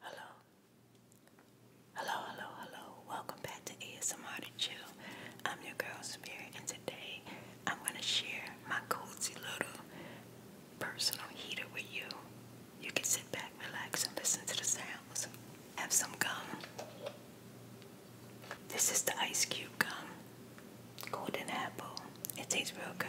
Hello. Hello, hello, hello. Welcome back to ASMR to Chill. I'm your girl Spirit and today I'm gonna share my cozy little personal heater with you. You can sit back, relax, and listen to the sounds. Have some gum. This is the ice cube gum. Golden apple. It tastes real good.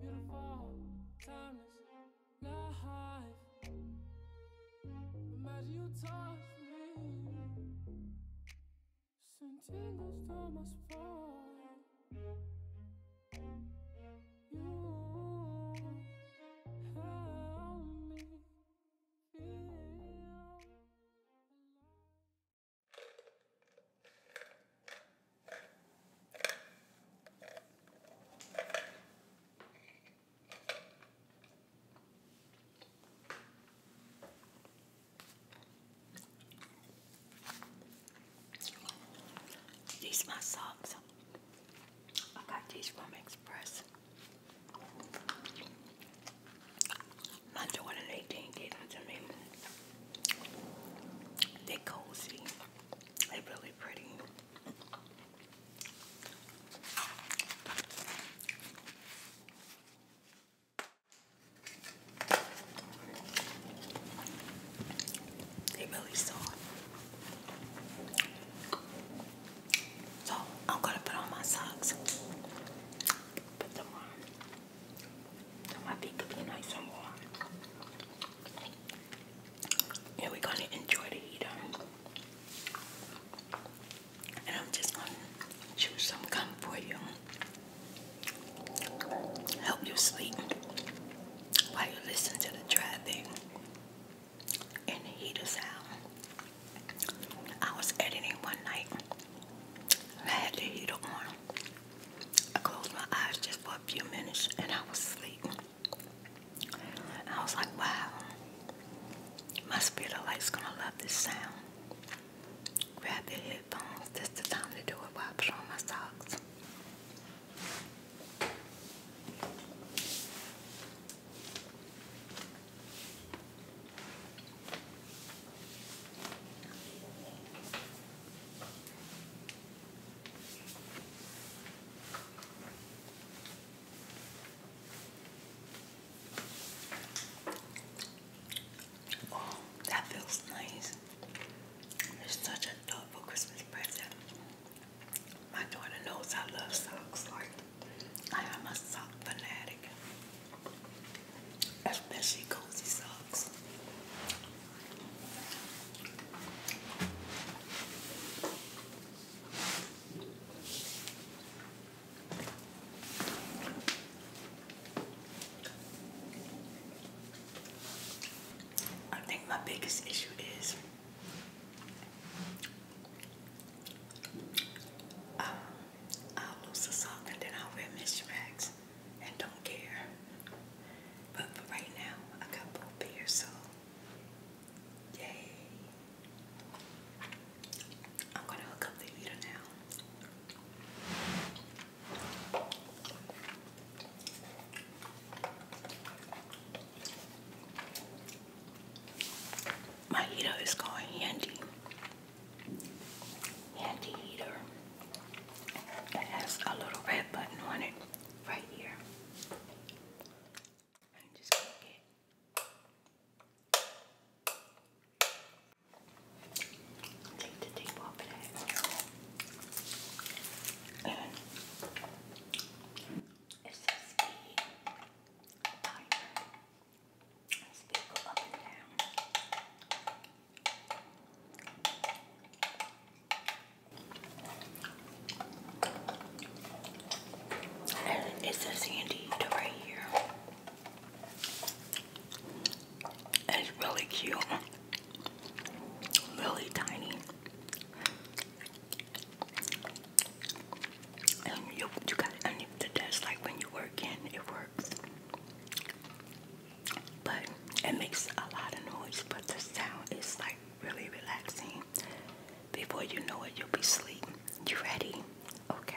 Beautiful, timeless life. Imagine you touch me, sentindo estou mais forte. You help me feel these my socks. I got these from Express. My daughter, they them to me. They're cozy. They're really pretty. They really soft. So I'm gonna put on my socks. Put them on. My feet could be nice and warm. And we're gonna enjoy the heat um. And I'm just gonna choose some comfort for you. Help you sleep while you listen to the traffic and the heater sound. I was editing one night had the heater on. I closed my eyes just for a few minutes and I was asleep. I was like, wow, my spirit light's gonna love this sound. Grab your headphones, this the time to do it while I put on my socks. Oh, that feels nice. It's such a thoughtful Christmas present. My daughter knows I love socks. Like I am a sock fanatic. Especially cozy socks. I think my biggest issue is um, I'll lose the sock and then I'll wear misdrags and don't care. But for right now, I got both pairs, so yay. I'm gonna hook up the heater now. My heater is going handy handy heater. It has a little red button on it right here. And just click it. Take the tape off of that. And it says key timer and it's a sandy right here. It's really cute. Really tiny. And you, you gotta the desk like when you work in, it works. But it makes a lot of noise, but the sound is like really relaxing. Before you know it, you'll be asleep. You ready? Okay.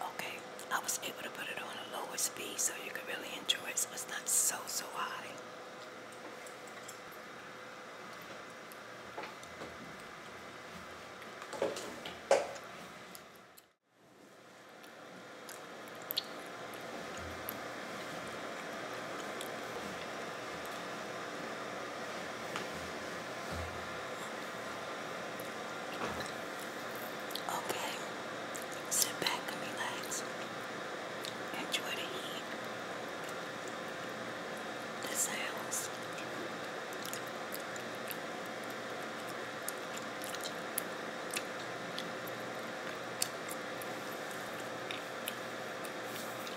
Okay, I was able to put it on a lower speed so you could really enjoy it. So it's not so, so high. Okay, sit back and relax. Enjoy the heat, the sounds.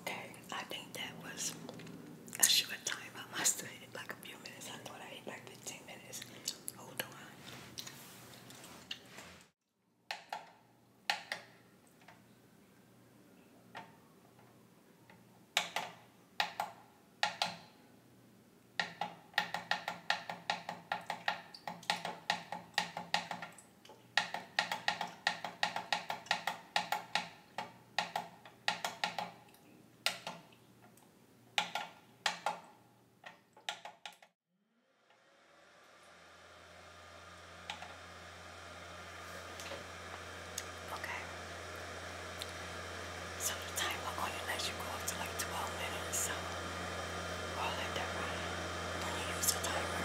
Okay, I think that was a short time. I must have hit like a few minutes. I thought I ate like 15 minutes. Hold on. Okay. So the time we're going to let should go up to like 12 minutes. So I'll let that run when you use the timer.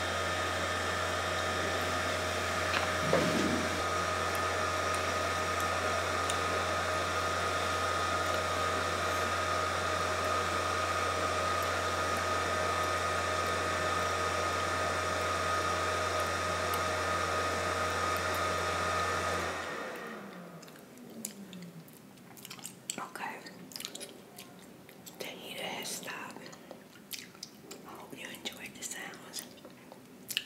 Okay, the heater has stopped. I hope you enjoyed the sounds.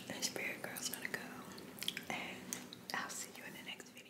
And Spirit Girl's gonna go. And I'll see you in the next video.